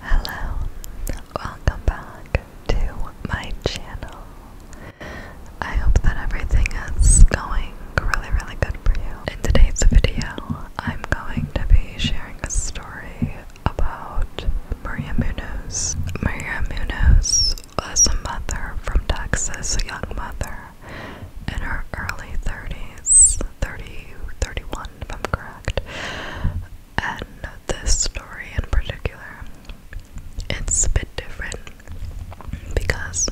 Hello, welcome back to my channel. I hope that everything is going really, really good for you. In today's video, I'm going to be sharing a story about Maria Munoz. Maria Munoz was a mother from Texas, a young mother in her early 30s, 30, 31 I'm correct correct. And this story in particular, it's a bit different because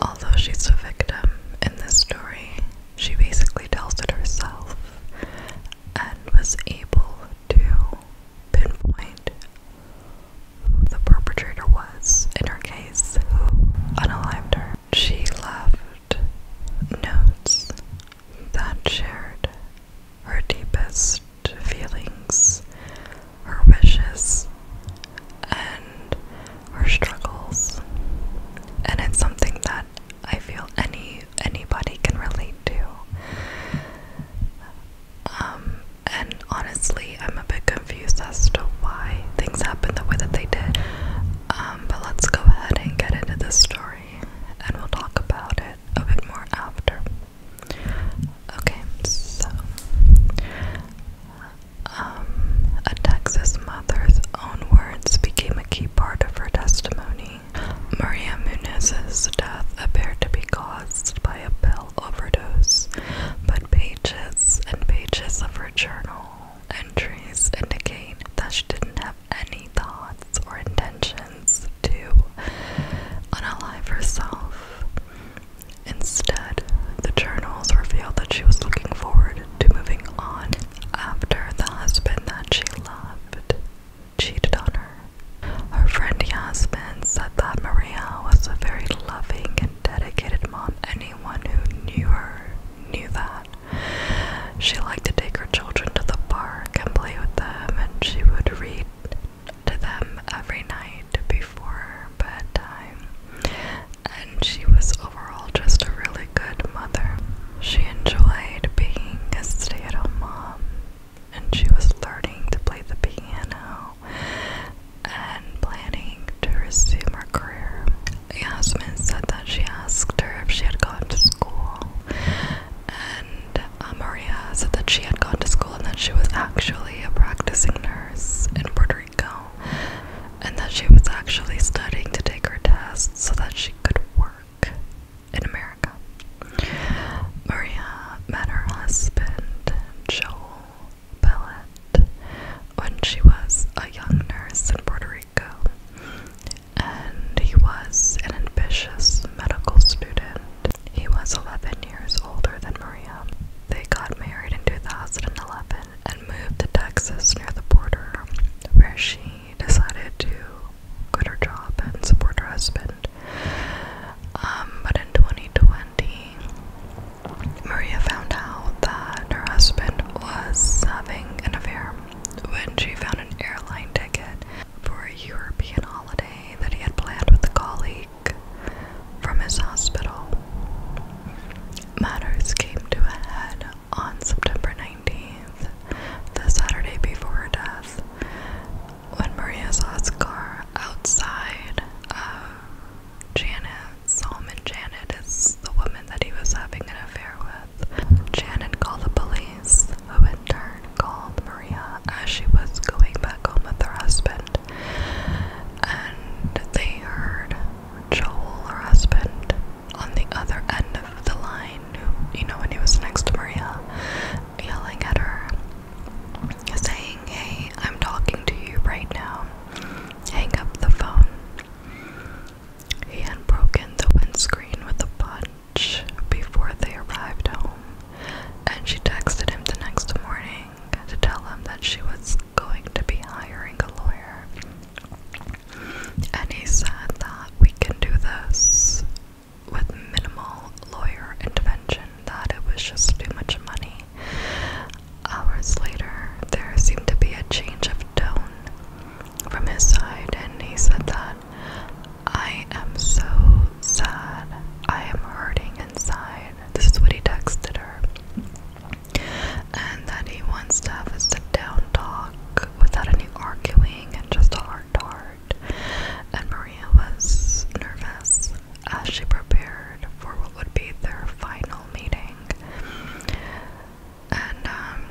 although she's a victim in this story, she basically tells it herself and was able to pinpoint who the perpetrator was in her case who unalived her. She left notes that shared her deepest feelings, her wishes, and her struggles. And it's something that I feel any anybody can relate to. Um, and honestly, I'm a bit confused as to why things happened the way that they did. Um, but let's go ahead and get into this story and we'll talk about it a bit more after. Okay, so um, a Texas mother's own words became a key part of her testimony. Maria Muniz's death appeared to be caused by a pill overdose, but pages and pages of her journal entries indicate that she didn't have any thoughts or intentions to unalive herself. Instead, the journals revealed that she was looking forward to moving on after the husband that she loved cheated on her. Her friend husband said that Maria was a very loving and dedicated mom. Anyone who knew her knew that. She liked to take her children to the park and play with them, and she would read to them every night before bedtime. And she was overall just a really good mother. She enjoyed being a stay at home mom, and she was learning to play the piano and planning to resume her career Yasmin said that she asked her if she had gone to school, and uh, Maria said that she had gone to school and that she was actually a practicing nurse in Puerto Rico, and that she was actually studying to take her test so that she could work in America. Maria met her husband, Joel, Bellet when she was a young nurse in Puerto Rico, and he was an ambitious medical student. He was 11 years older than Maria. They got married in 2011 and moved to Texas near the border, where she decided to quit her job and support her husband. Um, but in 2020, Maria found out that her husband was having an affair when she found an airline ticket for a European holiday that he had planned with a colleague from his hospital. Matters came to a head on September 19th, the Saturday before her death, when Maria saw his car outside of Janet Solomon Janet is the woman that he was having an affair with. Janet called the police, who in turn called Maria as she was going back home with her husband. And they heard Joel, her husband, on the other end of the line, you know, when he was next to Maria, yelling at her, saying, Hey, I'm talking to you right now hang up the phone. He had broken the windscreen with a punch before they arrived home, and she texted him the next morning to tell him that she was going to be hiring a lawyer. And he said that we can do this with minimal lawyer intervention, that it was just too much money Hours later, there seemed to be a change of tone from his side, and he said that I am so sad. I am hurting inside. This is what he texted her. And that he wants to have a sit down talk without any arguing and just a heart to heart. And Maria was nervous as uh, she prepared for what would be their final meeting. And um,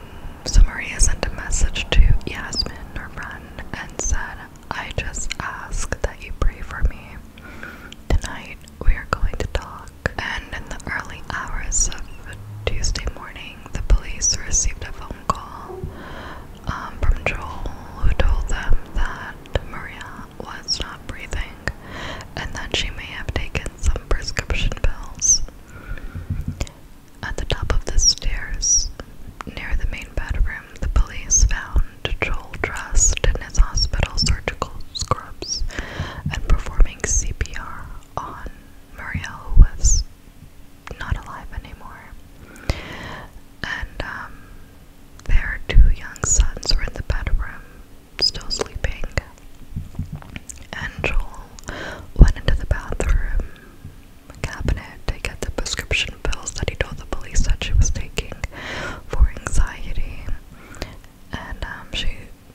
so Maria sent a message to Yasmin, or friend, and said, I just ask that you pray for me. Tonight we are going to talk. And in the early hours of Tuesday morning, the police received a phone call um, from Joel who told them that Maria was not breathing and that she may have taken some prescription pills. At the top of the stairs, near the main bedroom, the police found Joel dressed in his hospital surgical scrubs and performing CPR on Maria, who was not alive anymore. And um, their two young sons were in the bedroom still sleeping. And Joel went into the bathroom cabinet to get the prescription pills that he told the police that she was taking for anxiety. And um, she,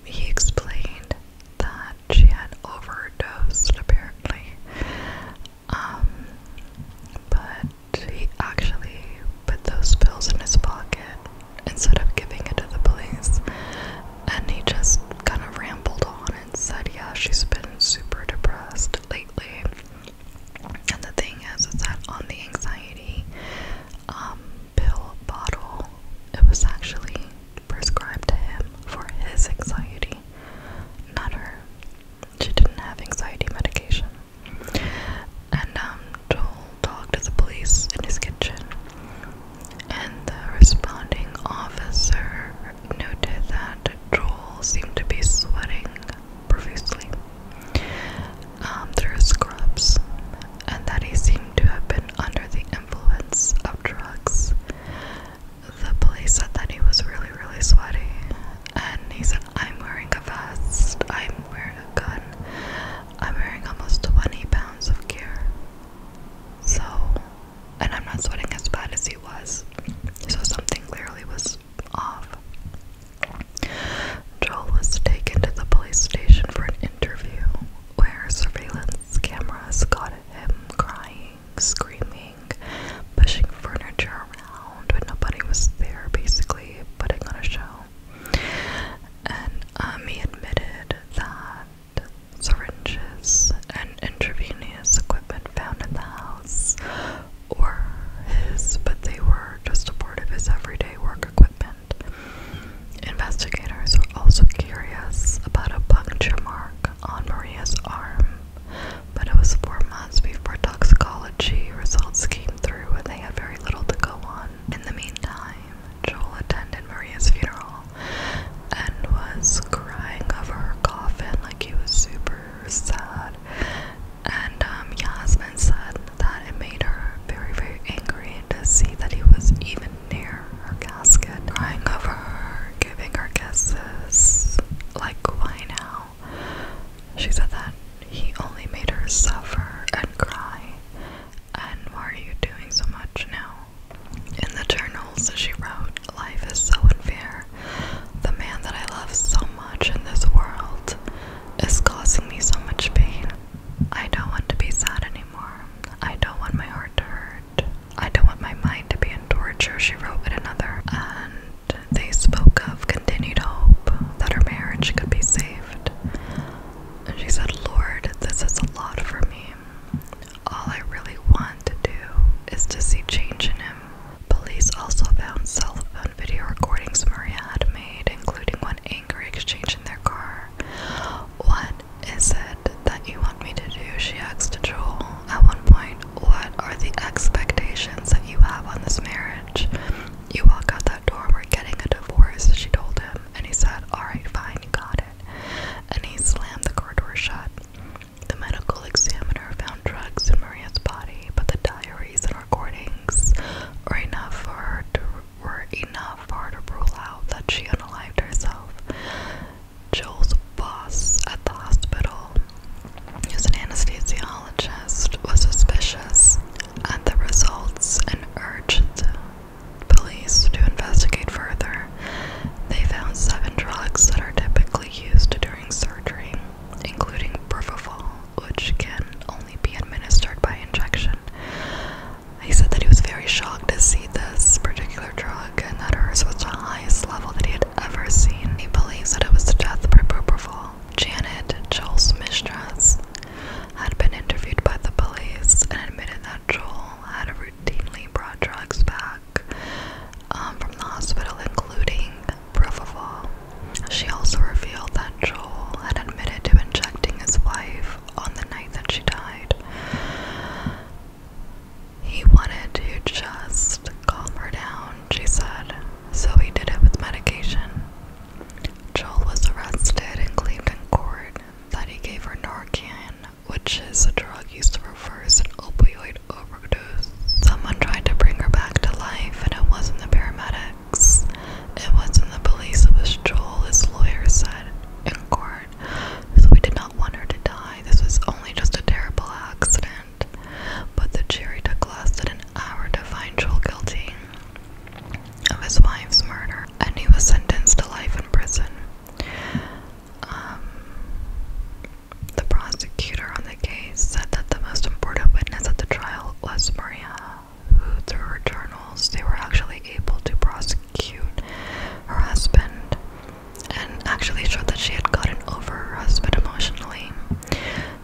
he explained that she had overdosed apparently. Um, but he actually put those pills in his pocket instead of giving it to the police. And he just kind of rambled on and said, Yeah, she's been super depressed lately. And the thing is, is that on the anxiety um, pill bottle, it was actually prescribed to him for his anxiety, not her. She didn't have anxiety medication. And um, Joel talked to the police in his kitchen. And the responding officer noted that Joel seemed to be sweating profusely um, through his scrubs, and that he seemed to have been under the influence of drugs. The police said that he was really, really sweaty, and he said I'm wearing a vest. I'm wearing a gun. I'm wearing almost 20 pounds of gear. So, and I'm not sweating as bad as he was. So something clearly was off. Joel was taken to the police station for an interview where surveillance cameras caught him crying, screaming, pushing furniture around but nobody was there, basically putting on a show well. And um, he admitted that syringes and intravenous equipment found in the house were his, but they were just a part of his everyday work equipment. Investigators were also curious about a puncture mark on Maria's arm, but it was four months before toxicology results came through and they had very little to go on. In the meantime, Joel attended Maria's funeral and was crying over her coffin like he was super sad. And um, Yasmin said that it made her very, very angry to see that he was even near her casket, crying over her, giving her kisses, like, why now? She said that he only made her suffer and cry. And why are you doing so much now? In the journals, she wrote, Life is so unfair. The man that I love so much in this world is causing me so much pain. I don't want to be sad anymore. I don't want my heart to hurt. I don't want my mind to be in torture, she wrote with another they spoke of continued hope that her marriage could be saved. And she said, Lord, this is a lot for me. All I really want to do is to see change in him. Police also found cell phone video recordings Maria had made, including one angry exchange in their car. What is it that you want me to do? She asked Joel. At one point, what are the expectations that you have on this marriage? You walk out that door, we're getting a divorce, she told him, and he said, Alright, fine, you got it. And he slammed the door shut. The medical examiner found drugs in Maria's body, but the diaries and recordings were enough for her to, were enough for to rule out that she unalived herself. Joel's boss at the hospital who's an anesthesiologist, was suspicious at the results and urged police to investigate further. They found seven drugs that are typically used during surgery, including propofol, which can only be administered by injection. He said that he was very shocked to see this particular drug and that it was the highest level that he had ever seen. He believes that it was death by propofol. Janet Joel's mistress, had been interviewed by the police and admitted that Joel had routinely brought drugs back um, from the hospital, including proof of Propofol. She also revealed that Joel had admitted to injecting his wife on the night that she died. He wanted to just calm her down, she said so he did it with medication. Joel was arrested and claimed in court that he gave her Narcan, which is a drug used to reverse an opioid overdose. Someone tried to bring her back to life, and it wasn't the paramedics, it wasn't the police, it was Joel, his lawyer said in court. we did not want her to die. This was only just a terrible accident but the jury took lasted an hour to find Joel guilty of his wife's murder, and he was sentenced to life in prison. Um, the prosecutor on the case said that the most important witness at the trial was Maria, who, through her journals, they were actually able to prosecute her husband and actually showed that she had gotten over her husband emotionally.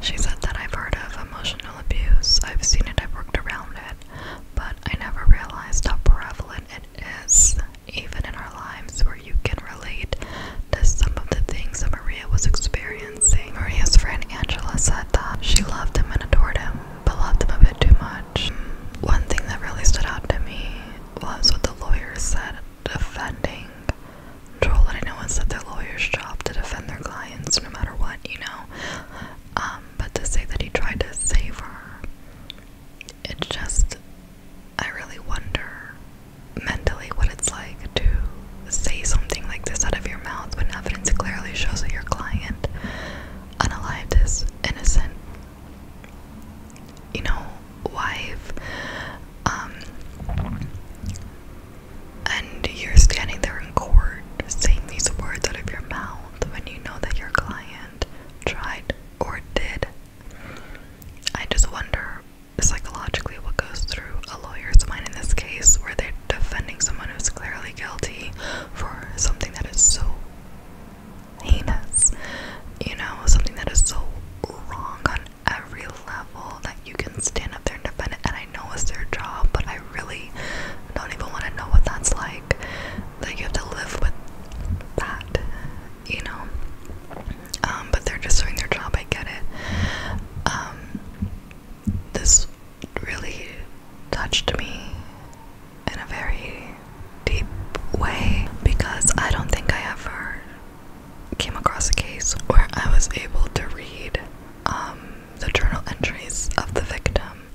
She said that I've heard of emotional abuse, I've seen it, I've worked around it, but I never realized how prevalent it is, even in our lives, where you can relate to some of the things that Maria was experiencing. Maria's friend Angela said that she loved him and adored him, but loved him a bit too much. One thing that really stood out to me was what the lawyers said defending Joel that I know it's that their lawyer's job to defend their clients no matter what, you know. Um, but to say that he tried to save her, it just I really wonder mentally what it's like to say something like this out of your mouth when evidence clearly shows that your client unalived is innocent. You know, wife, um, and you're standing there in court saying these words out of your mouth when you know that your client tried or did. I just wonder psychologically what goes through a lawyer's mind in this case where they're defending someone who's clearly guilty for something that is so heinous, you know, something that is so wrong on every level that you can stand up there and defend it. And I know it's their job, but I really don't even want to know what that's like. Like, you have to live with that, you know? Um, but they're just doing their job, I get it. Um, this really touched me in a very deep way because I don't think I ever came across a case where I was able to read um, the journal entries of the victim.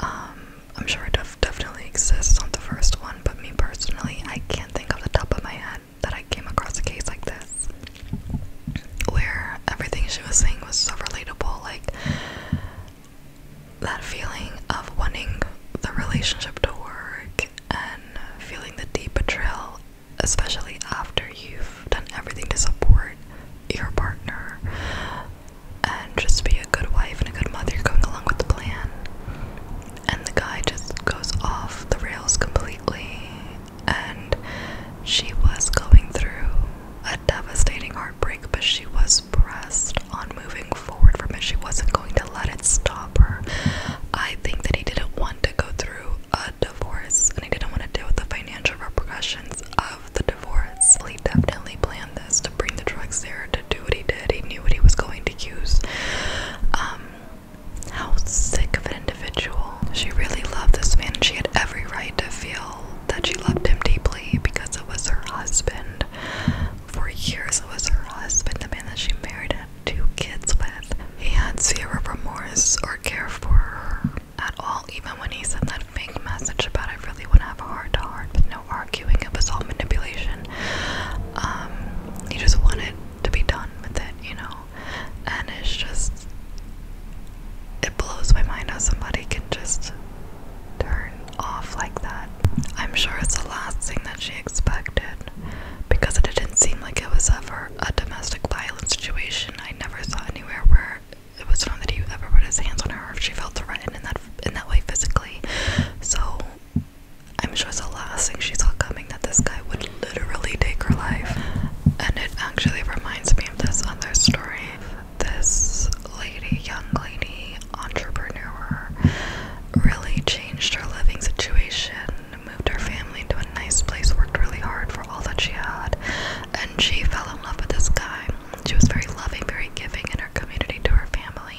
Um, I'm sure it definitely exists on the first one, but me personally, I can't think of the top of my head that I came across a case like this where everything she was saying was so relatable. Like that feeling of wanting the relationship to work and feeling the deep betrayal especially after you've done everything to support your partner and just be a good wife and a good mother going along with the plan. And the guy just goes off the rails completely. And she was going through a devastating heartbreak, but she was pressed on moving forward from it. She wasn't going to let it stop her. I think that he didn't want to to go through a divorce and he didn't want to deal with the financial repercussions of the divorce. He definitely planned this to bring the drugs there, to do what he did. He knew what he was going to use. Um, how sick of an individual. She really loved this man and she had every right to feel that she loved him deeply because it was her husband. For years, it was her husband, the man that she married, two kids with. He had zero remorse or care for her at all, even when he sent that fake message about I really want to have a heart to heart but no arguing. It was all manipulation. Um, he just wanted to be done with it, you know? And it's just. It blows my mind how somebody can just turn off like that. I'm sure it's the last thing that she expected because it didn't seem like it was ever a domestic violence situation. I never saw anywhere where it was known that he ever put his hands on her or she felt threatened in that in that way physically. So I'm sure it's the last thing she saw coming that this guy would literally take her life. And it actually reminds me of this other story. This lady, young lady, entrepreneur, really changed her living situation moved her family to a nice place, worked really hard for all that she had, and she fell in love with this guy. She was very loving, very giving in her community to her family,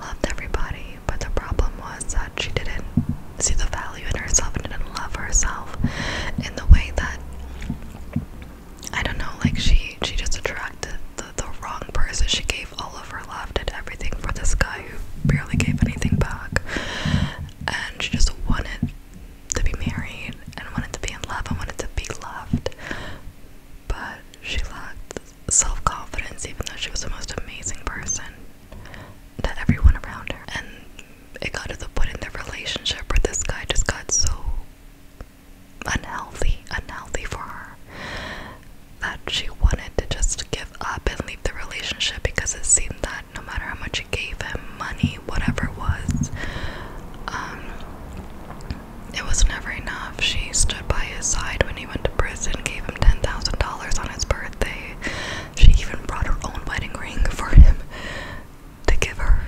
loved everybody, but the problem was that she didn't see the value in herself and didn't love herself in the way that I don't know, like she she just attracted the, the wrong person. She gave all of her love, did everything for this guy who barely gave anything back. And she just wanted to be married and wanted to be in love and wanted to be loved. But she lacked self confidence, even though she was the most amazing person that everyone around her. And it got to the point in their relationship where this guy just got so unhealthy, unhealthy for her that she wanted to just give up and leave the relationship because it seemed that no matter how much you gave him, money, whatever it was, um, it was never enough. She stood by his side when he went to prison, gave him $10,000 on his birthday. She even brought her own wedding ring for him to give her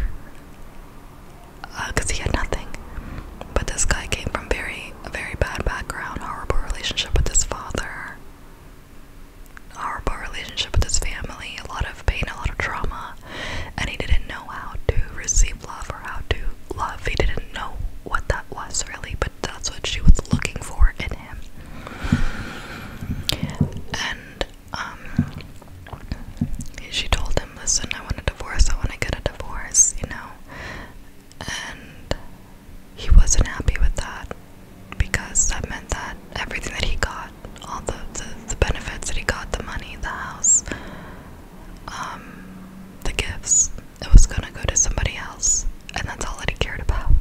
because uh, he had nothing. But this guy came from very a very bad background, horrible relationship with his father, horrible relationship with his family, a lot of pain, a lot of trauma, and he didn't know how to receive love or how to love. He didn't know what that was really, but that's what she was looking for in him. And um she told him, Listen, I want a divorce, I want to get a divorce, you know and he wasn't happy with that because that meant that everything that he got, all the, the, benefits that he got, the money, the house, um, the gifts, it was gonna go to somebody else, and that's all that he cared about.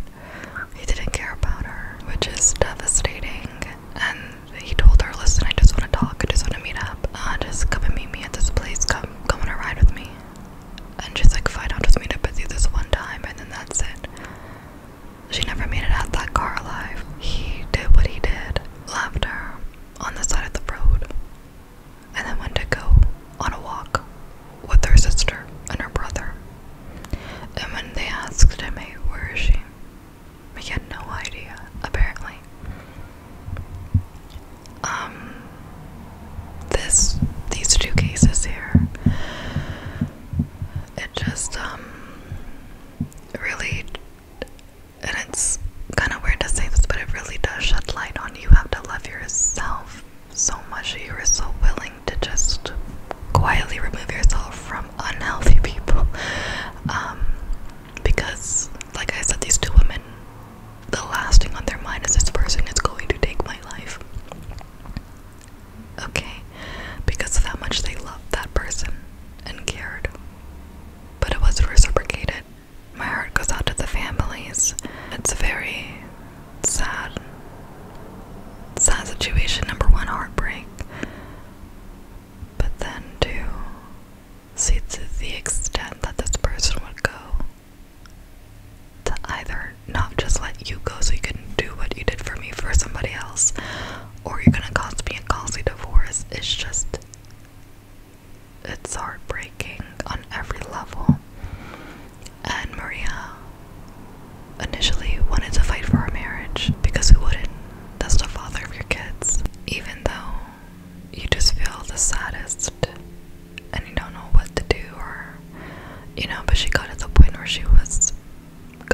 He didn't care about her, which is devastating. And he told her, "Listen, I just want to talk. I just want to meet up. Uh, just come and meet me at this place. Come, come on a ride with me." and just like, fine, I'll just meet up with you this one time, and then that's it. She never made it out that car alive. He did what he did, left her on the side of the road, and then went to go on a walk with her sister and her brother. And when they asked him, where is she? He had no idea, apparently um this these two cases here it just um really and it's kind of weird to say this but it really does shed light on you have to love yourself so much you are so willing to just quietly remove yourself from unhealthy people um because like i said these two women the last thing on their mind is this person is going to take my life. Okay, because of how much they loved that person and cared. But it wasn't reciprocated. My heart goes out to the families. It's a very sad, sad situation. Number one, heartbreak. But then, to see to the extent that this person would go to either not just let you go so you can do what you did for me for somebody else, or you're gonna cost me a costly divorce. It's just, it's heartbreaking on every level. And Maria initially wanted to fight for our marriage because we wouldn't. That's the father of your kids. Even though you just feel the saddest and you don't know what to do or you know but she got to the point where she was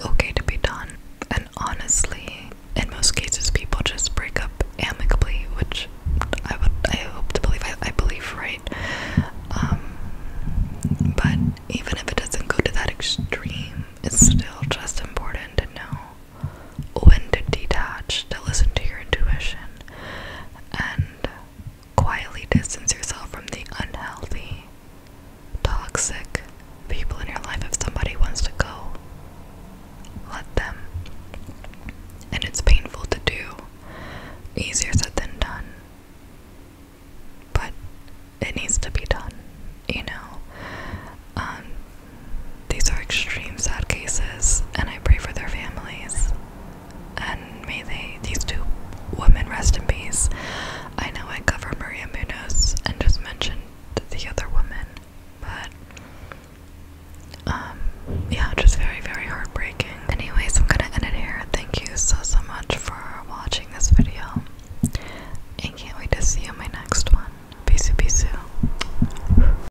okay to be done and honestly in most cases people just break up amicably which i would i hope to believe i, believe right um, but even if it doesn't go to that extreme it's still just important to know when to detach, to listen to your intuition, and quietly distance yourself from the unhealthy, toxic people in your life. If somebody wants to go, let them. And it's painful to do, easier said than done. But it needs to be done, you know? Um, these are extreme sad cases, and I pray for their families. And may they, these two women, rest in peace. I know I cover Maria Munoz and just mentioned the other woman, but um, yeah, just very, very heartbreaking. Anyways, I'm gonna end it here. Thank you so, so much for watching this video, and can't wait to see you in my next one. Peace, out, peace. out.